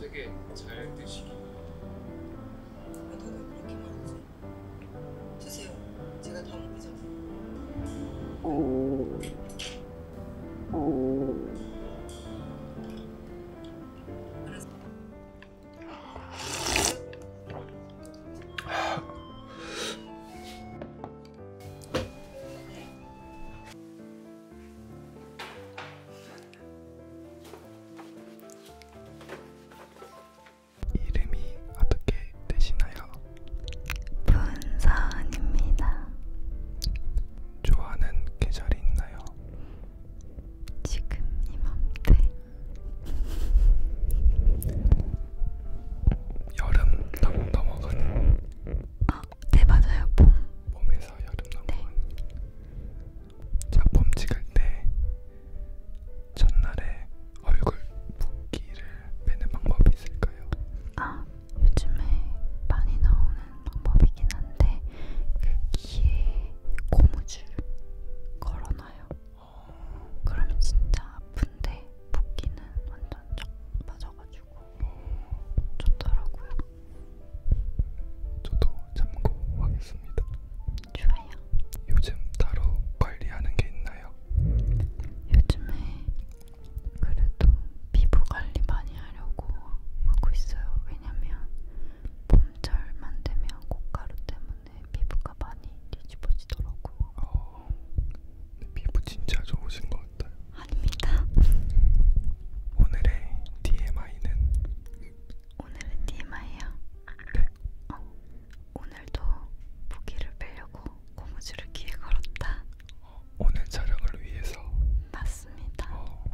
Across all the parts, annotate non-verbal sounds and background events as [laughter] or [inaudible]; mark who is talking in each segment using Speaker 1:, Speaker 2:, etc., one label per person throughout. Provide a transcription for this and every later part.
Speaker 1: 되게 잘 드시기. 아, 너는 그렇게 말하지. 주세요. 제가 다 먹기 전에. 오. 오. 네. 이름이 어떻게 되시나요? 분서은입니다. 좋아하는 계절이 있나요? 지금 이맘때. 여름 딱 넘어가는. 아, 네 맞아요. 봄. 봄에서 여름 넘어가는. 네. 작품 찍을 때 첫날에 얼굴 붓기를 빼는 방법이 있을까요? 아 요즘에 많이 나오는 방법이긴 한데 그 귀에 고무줄 걸어놔요. 어... 그러면 진짜 아픈데 붓기는 완전 쫙 빠져가지고 어... 좋더라고요. 저도 참고하겠습니다. 좋아요. 요즘 따로 관리하는 게 있나요? 요즘에 그래도 피부 관리 많이 하려고 하고 있어요. 왜냐면 봄철만 되면 꽃가루 때문에 피부가 많이 뒤집어지더라고요. 어, 피부 진짜 좋으신 것 같아요. 아닙니다. 음, 오늘의 TMI는 오늘은 TMI야. 네. 어, 오늘도 무기를 빼려고 고무줄을 귀에 걸었다. 어, 오늘 촬영을 위해서. 맞습니다. 어,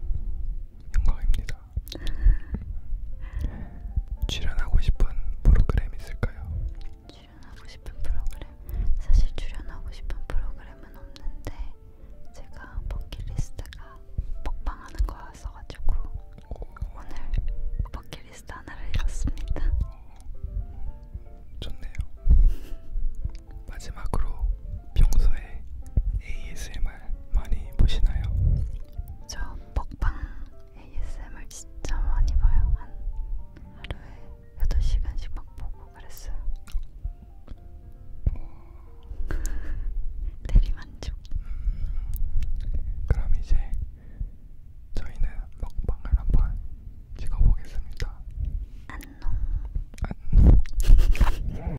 Speaker 1: 영광입니다. [laughs] 출연하고 싶은 프로그램 있을까요? 출연하고 싶은 프로그램? 사실 출연하고 싶은 프로그램은 없는데 제가 버킷리스트가 먹방하는 거였어가지고 오늘 버킷리스트 하나를 이뤘습니다. 좋네요. [laughs] 마지막으로 평소에 ASMR 많이 보시나요? 저 먹방 ASMR 진짜 많이 봐요. 한 하루에 8시간씩 막 보고 그랬어요. 어, 대리만족. 음, 그럼 이제 저희는 먹방을 한번 찍어보겠습니다. 안녕. 안녕.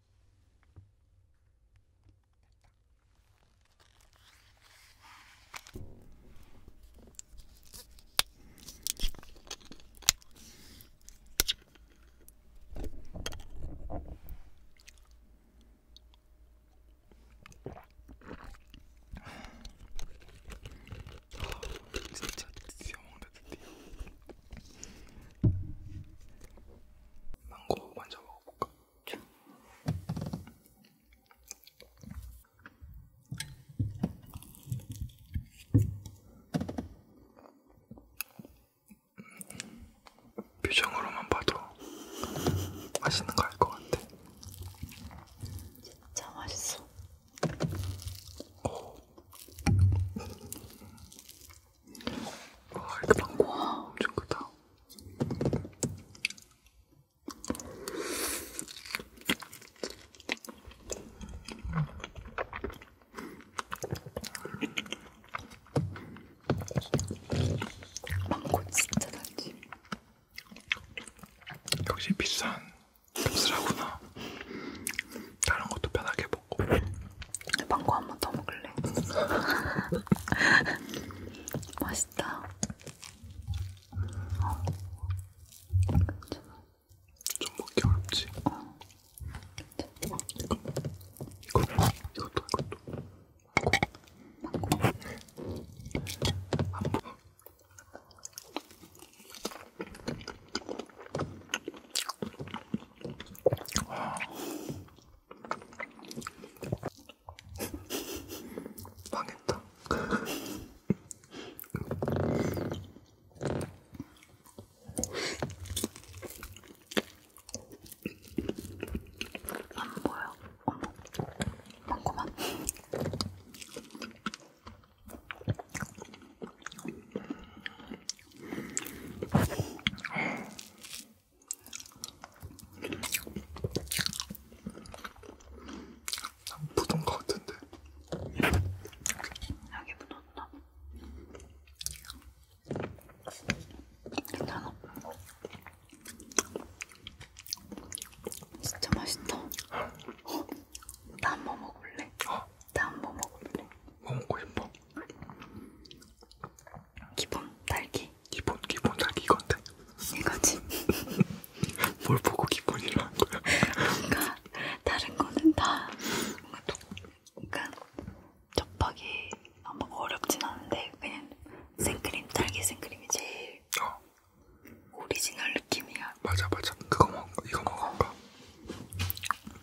Speaker 1: 됐다. 아, 진짜 드디어 먹는다 드디어 망고 먼저 먹어볼까? 자. 표정으로만 봐도 맛있는 거알것 같아. 진짜 맛있어. 오. 와, 이렇게 방구가 엄청 크다. 망고 진짜 달지. 역시 비싼 값을 하구나. 다른 것도 편하게 뭐 망고 한번 더 먹을래? [laughs] 맛있다. 어. 좀 먹기 어렵지? 어. 이거, 이것도, 이것도. 망고. 망고. 망고. 망했다. 안 보여. 어머, 많구만. 묻은 것 같은데. 여기 묻었나? 괜찮아. 진짜 맛있다. 어? 나한 번 먹을래? 나 한 번 먹을래? 뭐 먹고 싶어? 기본 달기. 기본 기본 달기 건데. 이거지. [laughs] 뭘 보고 기본이라는 거야? 그러니까 다른 거는 다 뭔가 독, 그러니까 접하기 아마 어렵진 않은데 그냥 생크림 달기 생크림이 제일 어. 오리지널 느낌이야. 맞아 맞아. 그거 먹 이거 먹어봐. 어.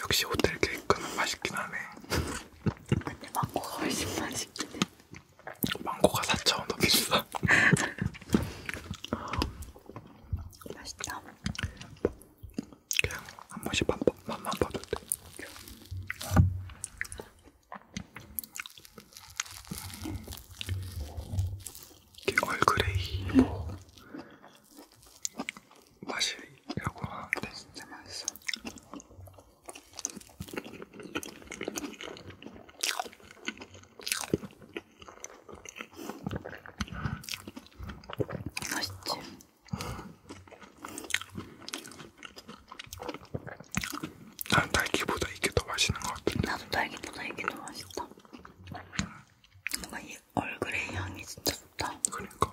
Speaker 1: 역시 호텔 케이크는 맛있긴 하네. 근데 망고가 훨씬 맛있긴 해. 망고가 4,000원 더 비싸. 맛있다. 그냥 한 번씩 밥, 맛만 봐도 돼. 얼그레이 뭐 맛이라고 하는데 진짜 맛있어. 맛있지? 난 딸기보다 이게 더 맛있는 것 같은데 나도 딸기보다 이게 더 맛있다 뭔가 이 얼굴의 향이 진짜 좋다 그러니까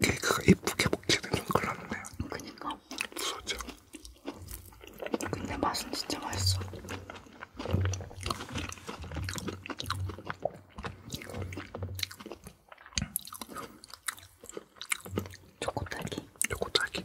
Speaker 1: 케이크가 이쁘게 먹게 되면 큰일 났네요. 그니까. 무서웠죠. 근데 맛은 진짜 맛있어. 초코딸기. 초코딸기.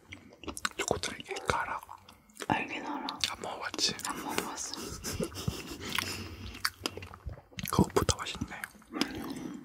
Speaker 1: 초코들은 이게 가라. 알긴 알아. 안 먹어봤지? 안 먹어봤어. 그것보다 맛있네. 음.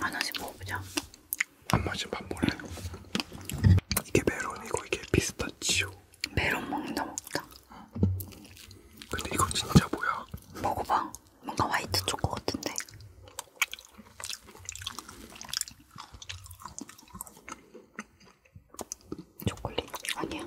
Speaker 1: 하나씩 먹어보자. 한 번씩 밥 먹래. 이게 메론이고 이게 피스타치오. 메론 먹는다 먹다. 근데 이거 진짜 뭐야? 먹어봐. 뭔가 화이트 초코 같은데. 초콜릿 아니야.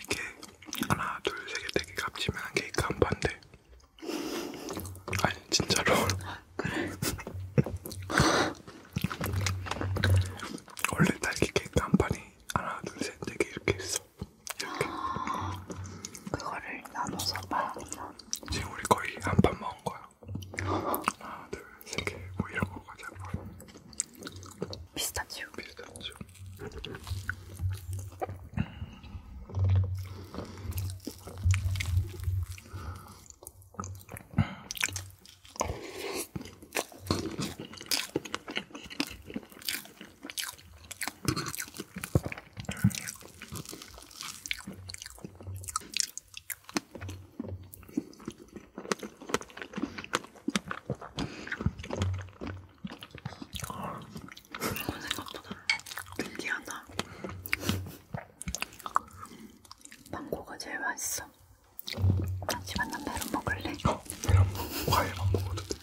Speaker 1: 이게 하나 둘세개 되게 네 값지면 케이크 한 반대. 아니 진짜로. 그래. [laughs] 원래 딸기 케이크 한 판이 하나 둘셋 되게 네 이렇게 있어. 이렇게. 그거를 나눠서 봐. 지금 우리 거의 한 판 먹은 거야. 하나 둘 세계 뭐 이런 거 가자 뭐. 피스타치오. 피스타치오. 이건 생각보다 신기하다. 망고가 제일 맛있어. 집안 남자로 먹을래? 어, 내가 과일만 먹어도 돼.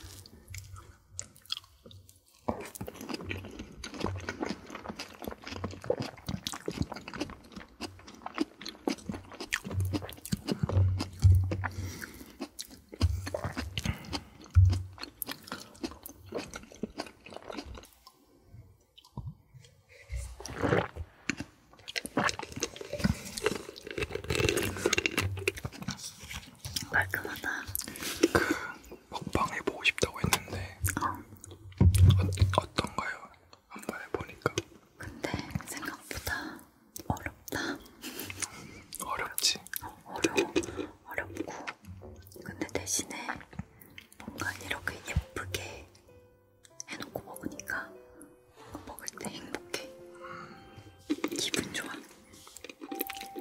Speaker 1: 깔끔하다. 그 먹방 해보고 싶다고 했는데 어. 어, 어떤가요? 한번 해보니까. 근데 생각보다 어렵다. 음, 어렵지. 어, 어려워. 어렵고. 근데 대신에 뭔가 이렇게 예쁘게 해놓고 먹으니까 먹을 때 행복해. 기분 좋아.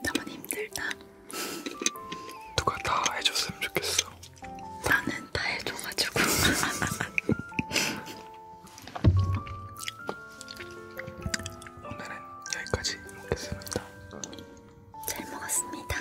Speaker 1: 나만 힘들다. 누가 다 해줬으면 좋겠어. 나는 다 해줘가지고. [laughs] 오늘은 여기까지 먹겠습니다. 잘 먹었습니다.